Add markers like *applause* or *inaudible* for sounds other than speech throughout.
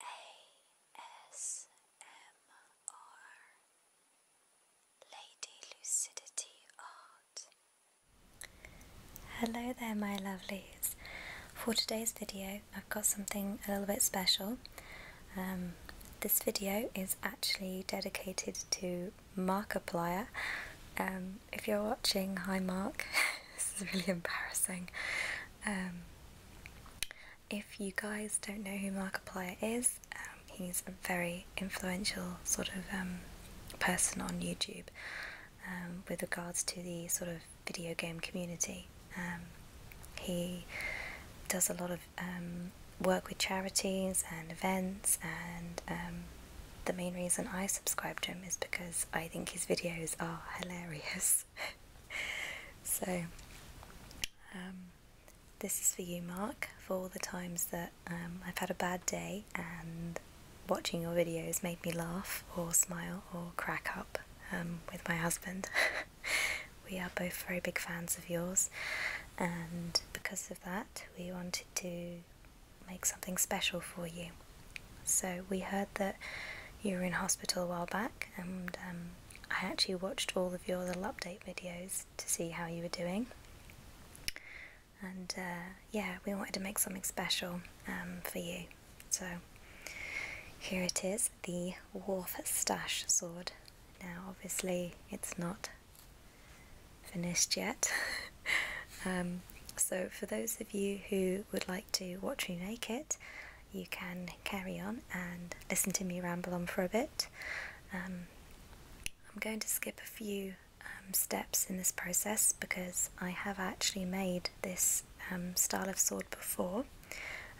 ASMR Lady Lucidity Art. Hello there, my lovelies. For today's video, I've got something a little bit special. Um, this video is actually dedicated to Markiplier. Um, if you're watching, hi Mark. *laughs* this is really embarrassing. Um, if you guys don't know who Markiplier is, um, he's a very influential sort of um, person on YouTube um, with regards to the sort of video game community. he does a lot of work with charities and events and the main reason I subscribe to him is because I think his videos are hilarious. *laughs* *laughs* so, um, this is for you, Mark, for all the times that um, I've had a bad day and watching your videos made me laugh or smile or crack up um, with my husband. *laughs* we are both very big fans of yours, and because of that, we wanted to make something special for you. So we heard that you were in hospital a while back, and um, I actually watched all of your little update videos to see how you were doing. And uh, yeah, we wanted to make something special um, for you. So here it is, the Wharf Stash Sword. Now, obviously, it's not finished yet. *laughs* Um, so, for those of you who would like to watch me make it, you can carry on and listen to me ramble on for a bit. Um, I'm going to skip a few um, steps in this process because I have actually made this um, style of sword before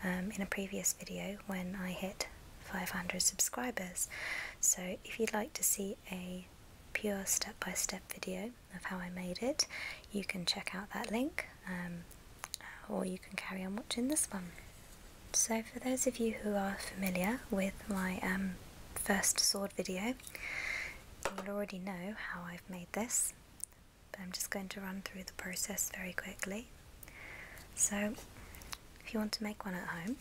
in a previous video when I hit 500 subscribers. So if you'd like to see a pure step by -step video of how I made it, you can check out that link um, or you can carry on watching this one. So for those of you who are familiar with my um, first sword video, you'll already know how I've made this, but I'm just going to run through the process very quickly. So if you want to make one at home,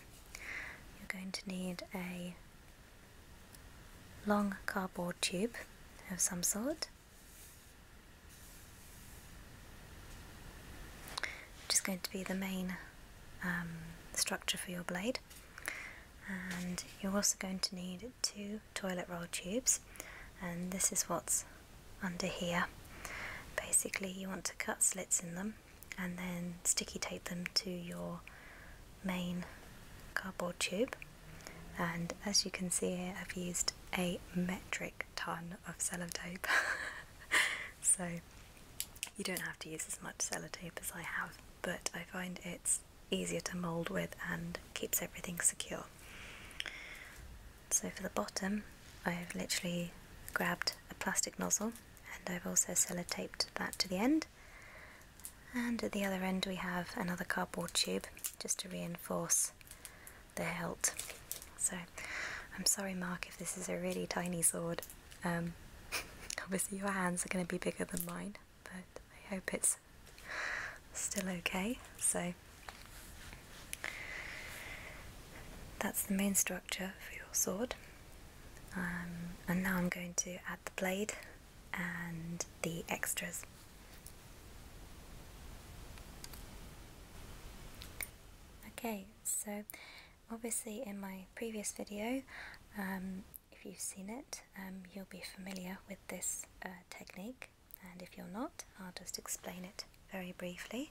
you're going to need a long cardboard tube of some sort. Which is going to be the main um, structure for your blade. And you're also going to need two toilet roll tubes and this is what's under here. Basically you want to cut slits in them and then sticky tape them to your main cardboard tube and as you can see here I've used a metric ton of sellotape *laughs* so you don't have to use as much sellotape as I have but I find it's easier to mould with and keeps everything secure. So for the bottom I've literally grabbed a plastic nozzle and I've also sellotaped that to the end and at the other end we have another cardboard tube just to reinforce the hilt. So I'm sorry Mark if this is a really tiny sword. Um, *laughs* obviously your hands are going to be bigger than mine, but I hope it's still okay. So that's the main structure for your sword. Um, and now I'm going to add the blade and the extras. Okay, so obviously in my previous video, um, if you've seen it, um, you'll be familiar with this uh, technique and if you're not, I'll just explain it very briefly.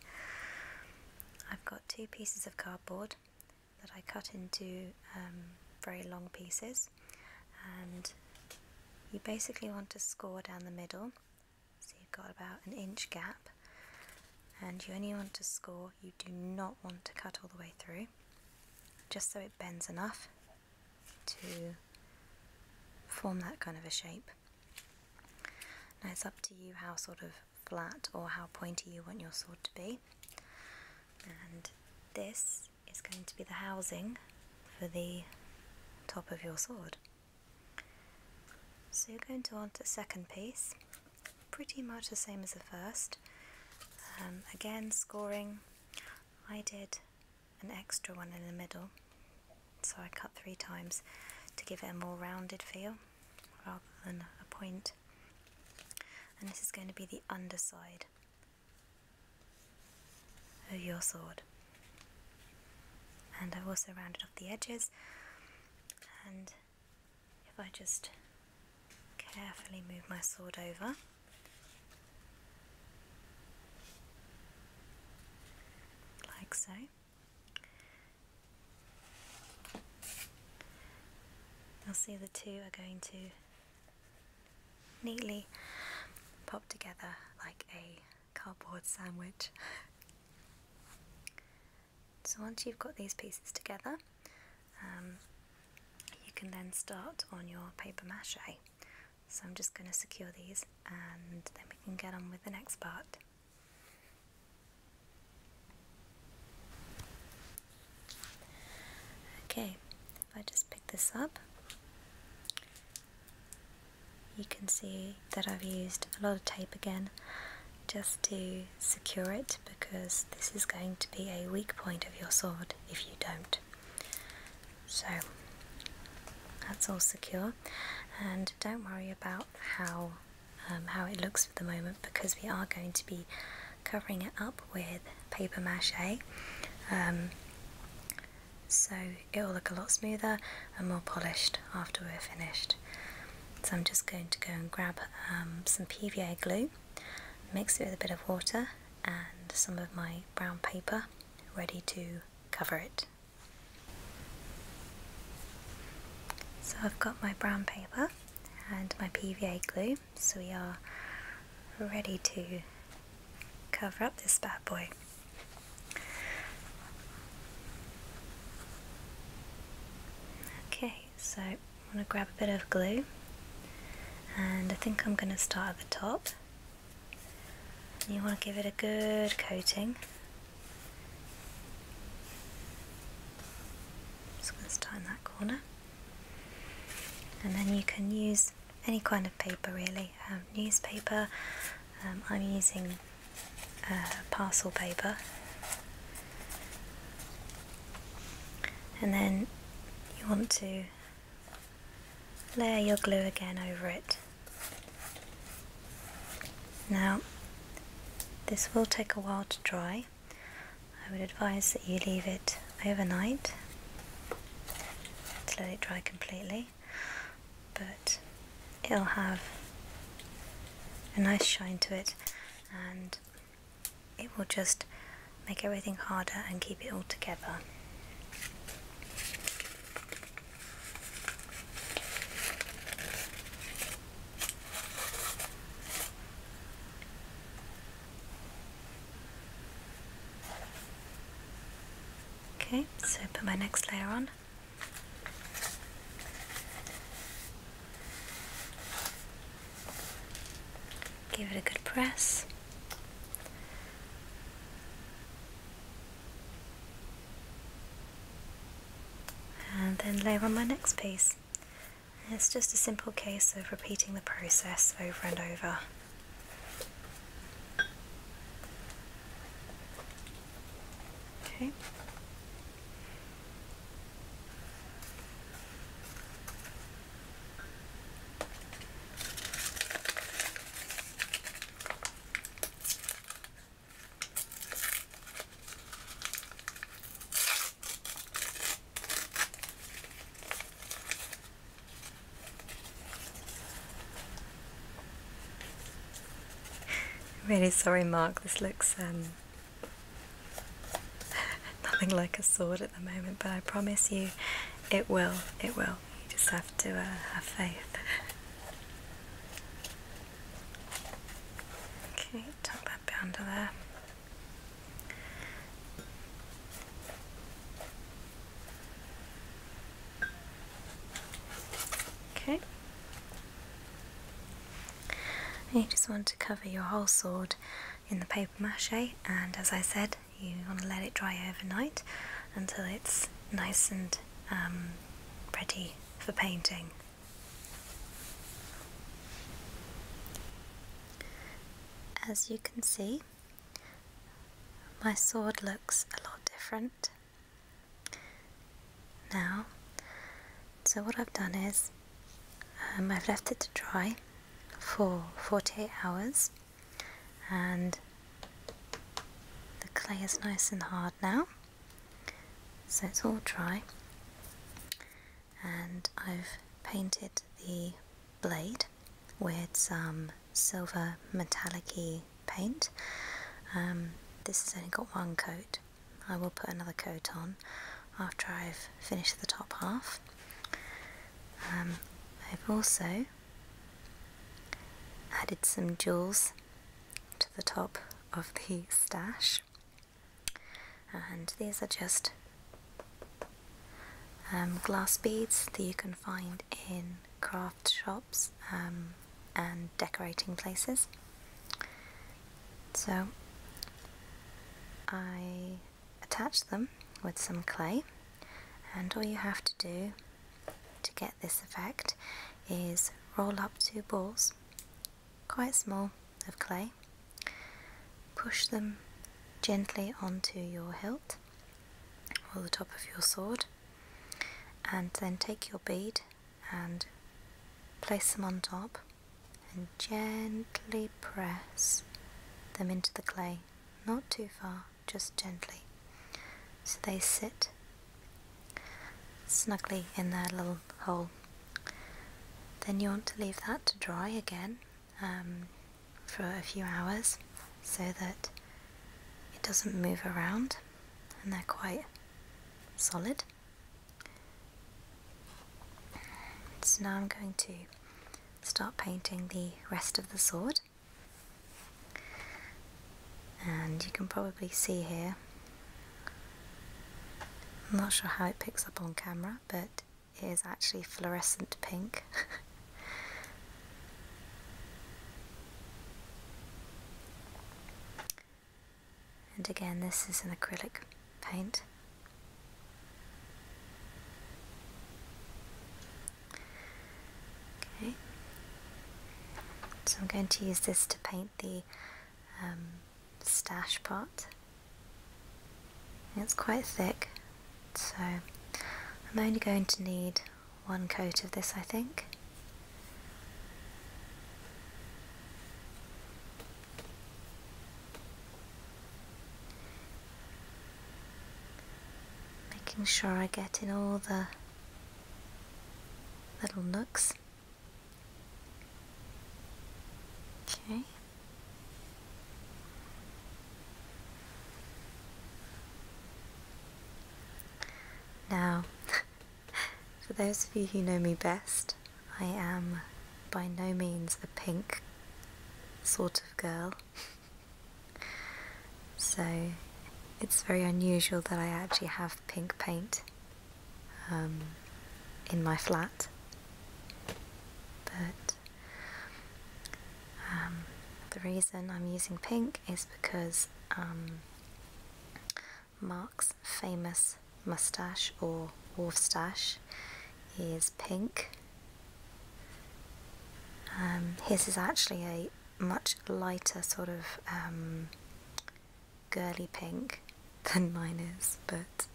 I've got two pieces of cardboard that I cut into um, very long pieces and you basically want to score down the middle so you've got about an inch gap and you only want to score you do not want to cut all the way through just so it bends enough to form that kind of a shape now it's up to you how sort of flat or how pointy you want your sword to be and this is going to be the housing for the top of your sword. So you're going to want a second piece, pretty much the same as the first. Um, again, scoring, I did an extra one in the middle, so I cut three times to give it a more rounded feel rather than a point. And this is going to be the underside of your sword. And I've also rounded off the edges and if I just carefully move my sword over like so you'll see the two are going to neatly popped together like a cardboard sandwich. so once you've got these pieces together, um, you can then start on your paper mache. So I'm just going to secure these and then we can get on with the next part. Okay, if I just pick this up, you can see that I've used a lot of tape again just to secure it because this is going to be a weak point of your sword if you don't. So that's all secure and don't worry about how um, how it looks for the moment because we are going to be covering it up with paper mache um, so it will look a lot smoother and more polished after we're finished. So I'm just going to go and grab um, some PVA glue, mix it with a bit of water and some of my brown paper ready to cover it. So I've got my brown paper and my PVA glue so we are ready to cover up this bad boy. Okay, so I'm going to grab a bit of glue and I think I'm going to start at the top. you want to give it a good coating. just going to start in that corner and then you can use any kind of paper really um, newspaper um, I'm using uh, parcel paper and then you want to layer your glue again over it now this will take a while to dry I would advise that you leave it overnight to let it dry completely, but it'll have a nice shine to it and it will just make everything harder and keep it all together. Okay, so put my next layer on. Give it a good press. And then layer on my next piece. It's just a simple case of repeating the process over and over. Okay. *laughs* really sorry, Mark. This looks um, *laughs* nothing like a sword at the moment, but I promise you, it will. It will. You just have to uh, have faith. *laughs* okay, tuck that bit under there. Okay. You just want to cover your whole sword in the paper mache, and as I said, you want to let it dry overnight until it's nice and um, ready for painting. As you can see, my sword looks a lot different now. So what I've done is um, I've left it to dry for 48 hours and the clay is nice and hard now so it's all dry and I've painted the blade with some silver metallicy paint. Um, this has only got one coat. I will put another coat on after I've finished the top half. Um, I've also added some jewels to the top of the stash and these are just um, glass beads that you can find in craft shops um, and decorating places. So I attach them with some clay and all you have to do to get this effect is roll up two balls quite small, of clay. Push them gently onto your hilt or the top of your sword and then take your bead and place them on top and gently press them into the clay, not too far, just gently. So they sit snugly in their little hole then you want to leave that to dry again um, for a few hours so that it doesn't move around and they're quite solid. So now I'm going to start painting the rest of the sword and you can probably see here I'm not sure how it picks up on camera but is actually fluorescent pink. *laughs* and again, this is an acrylic paint. Okay, so I'm going to use this to paint the um, stash pot. It's quite thick, so I'm only going to need one coat of this, I think. Making sure I get in all the little nooks. Okay. Now, *laughs* for those of you who know me best, I am by no means a pink sort of girl. *laughs* so it's very unusual that I actually have pink paint um, in my flat. But um, the reason I'm using pink is because um, Mark's famous mustache or wolf stash is pink. his is actually a much lighter sort of girly pink than mine is, but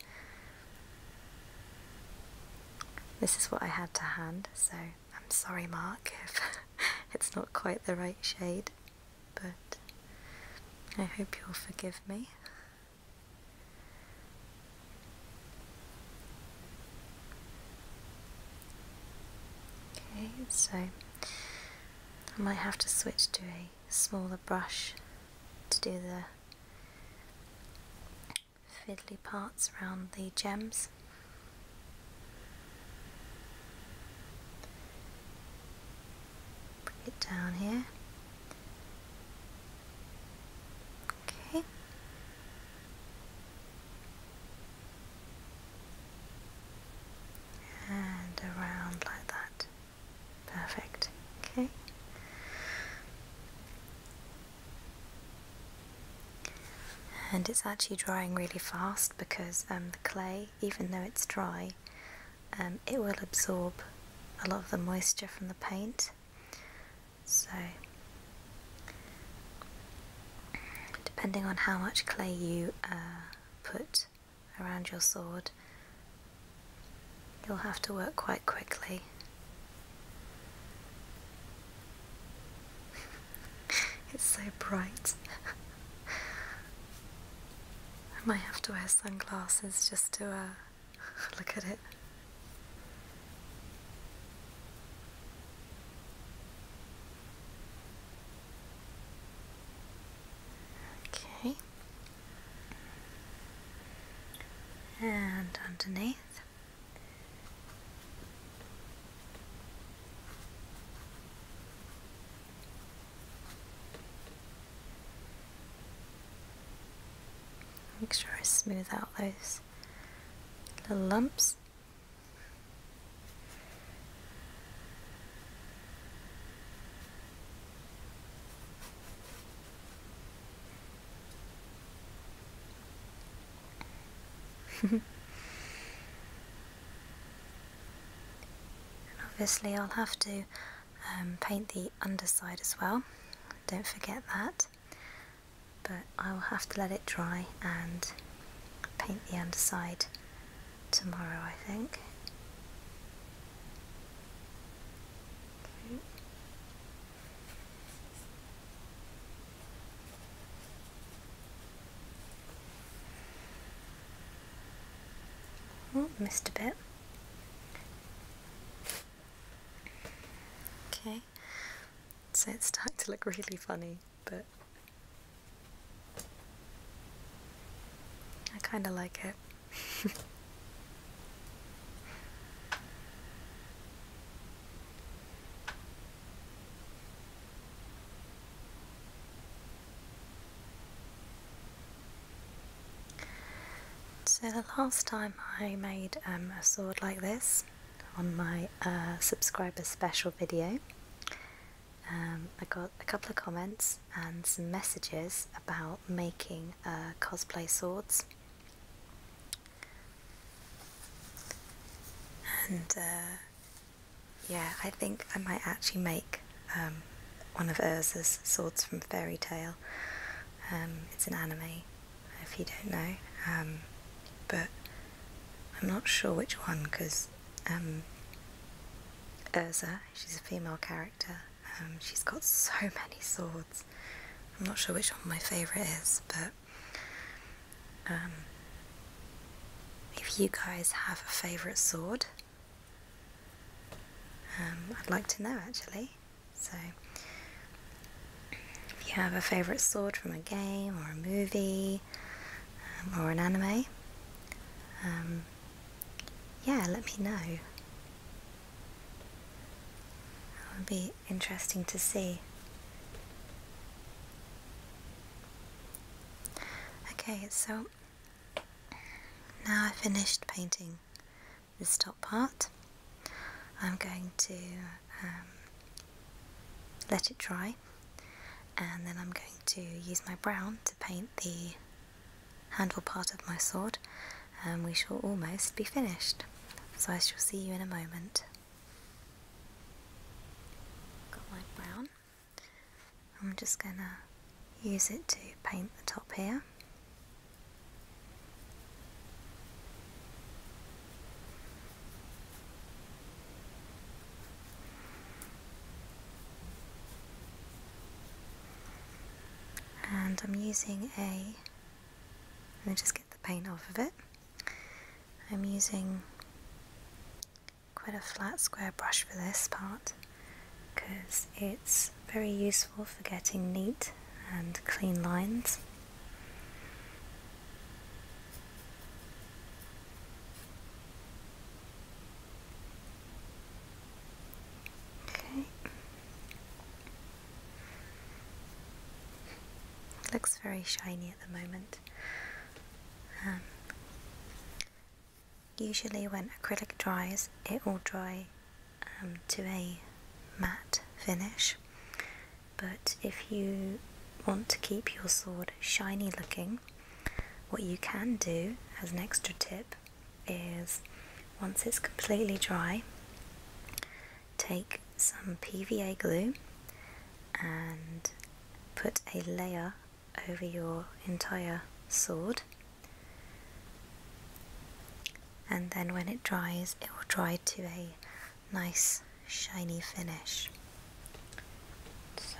this is what I had to hand, so I'm sorry, Mark, if *laughs* it's not quite the right shade, but I hope you'll forgive me. Okay, so I might have to switch to a smaller brush to do the fiddly parts around the gems. Bring it down here. Okay. And around like that. Perfect. Okay. And it's actually drying really fast because um, the clay, even though it's dry, um, it will absorb a lot of the moisture from the paint. So, depending on how much clay you uh, put around your sword, you'll have to work quite quickly. *laughs* it's so bright. *laughs* I might have to wear sunglasses just to uh, *laughs* look at it. Okay, and underneath. Make sure I smooth out those little lumps and obviously I'll have to um, paint the underside as well, don't forget that, but I will have to let it dry and paint the underside tomorrow, I think. Oh, missed a bit. Okay, so it's starting to look really funny, but I kind of like it so the last time I made um, a sword like this on my uh, subscriber special video um, I got a couple of comments and some messages about making uh, cosplay swords. And uh, yeah, I think I might actually make um, one of Erza's swords from Fairy Tale. Um, it's an anime, if you don't know, um, but I'm not sure which one because Erza, she's a female character. Um, she's got so many swords. I'm not sure which one my favourite is, but um, if you guys have a favourite sword, um, I'd like to know actually. So, if you have a favourite sword from a game or a movie or an anime, yeah, let me know. That would be interesting to see. Okay, so now i finished painting this top part. I'm going to um, let it dry and then I'm going to use my brown paint the handle part of my sword and we shall almost be finished. So I shall see you in a moment. Got my brown. I'm just going to use it to paint the top here and I'm using a let me just get the paint off of it I'm using quite a flat square brush for this part because it's very useful for getting neat and clean lines Okay. Looks very shiny at the moment. Um, usually, when acrylic dries, it will dry um, to a matte finish, but if you want to keep your sword shiny looking, what you can do as an extra tip is once it's completely dry, take some PVA glue and put a layer over your entire sword. And then when it dries, it will dry to a nice shiny finish. So,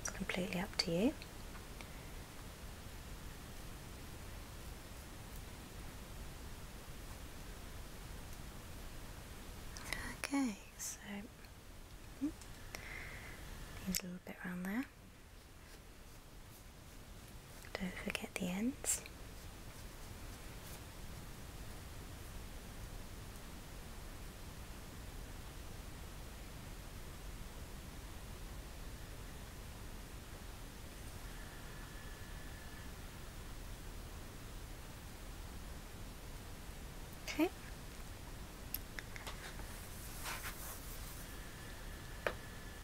it's completely up to you. Okay, so mm, a little bit around there. Don't forget the ends. Okay.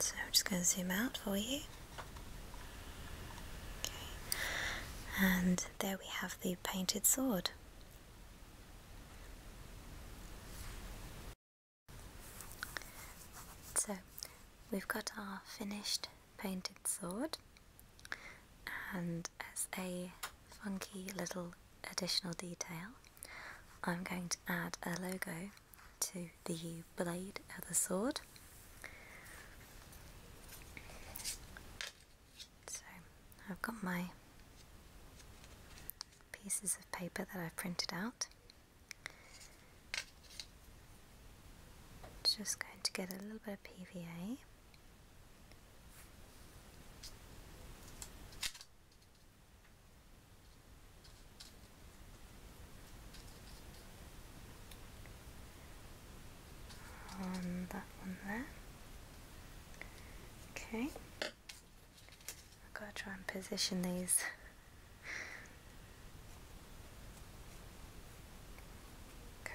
So I'm just going to zoom out for you. Okay. And there we have the painted sword. So we've got our finished painted sword and as a funky little additional detail I'm going to add a logo to the blade of the sword so I've got my pieces of paper that I've printed out. Just going to get a little bit of PVA. on that one there Okay. I've got to try and position these.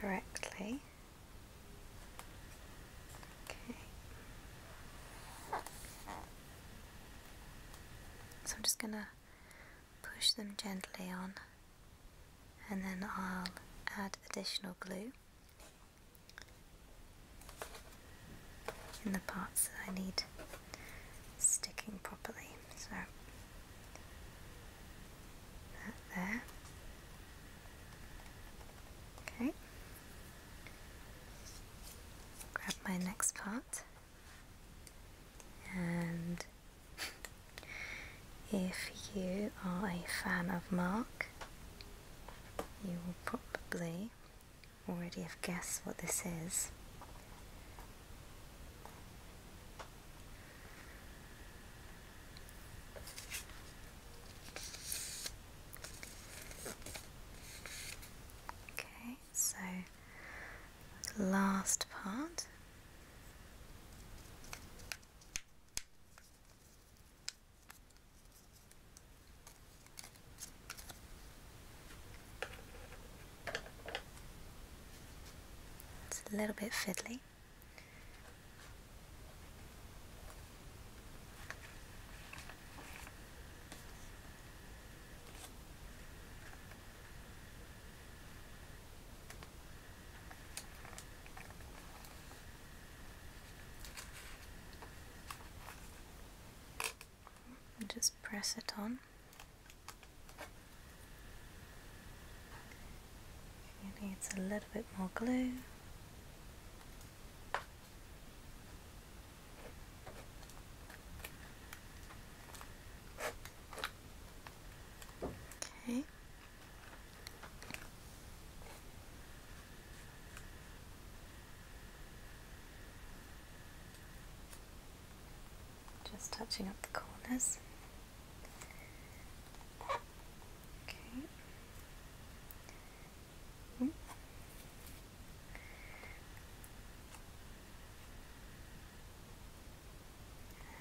correctly. Okay. So I'm just going to push them gently on and then I'll add additional glue in the parts that I need sticking properly. So that there. Okay. Grab my next part and *laughs* if you are a fan of Mark you will probably already have guessed what this is. Okay, so last part. It's a little bit fiddly just press it on. It needs a little bit more glue. Okay. Just touching up the corners. Okay. Hmm.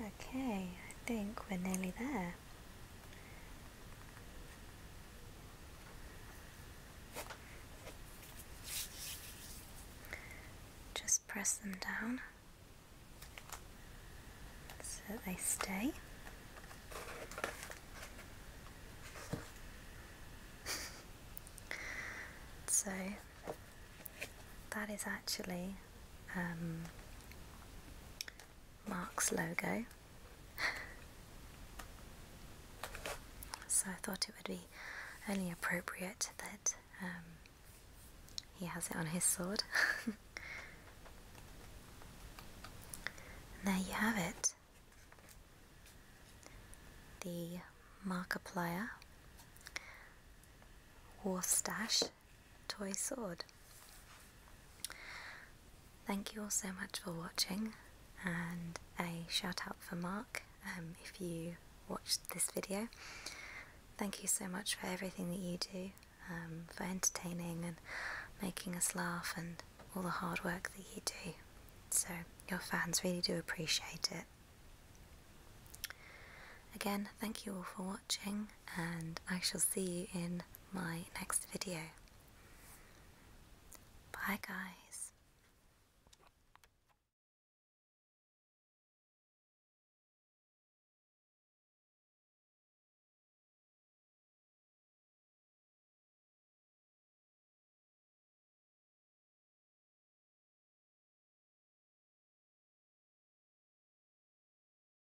Okay, I think we're nearly there. Just press them down so that they stay. *laughs* so that is actually um, Mark's logo *laughs* so I thought it would be only appropriate that um, he has it on his sword. *laughs* there you have it. The Markiplier War Stash toy sword. Thank you all so much for watching and a shout out for Mark um, if you watched this video. Thank you so much for everything that you do, um, for entertaining and making us laugh and all the hard work that you do. So your fans really do appreciate it. Again, thank you all for watching and I shall see you in my next video. Bye guys.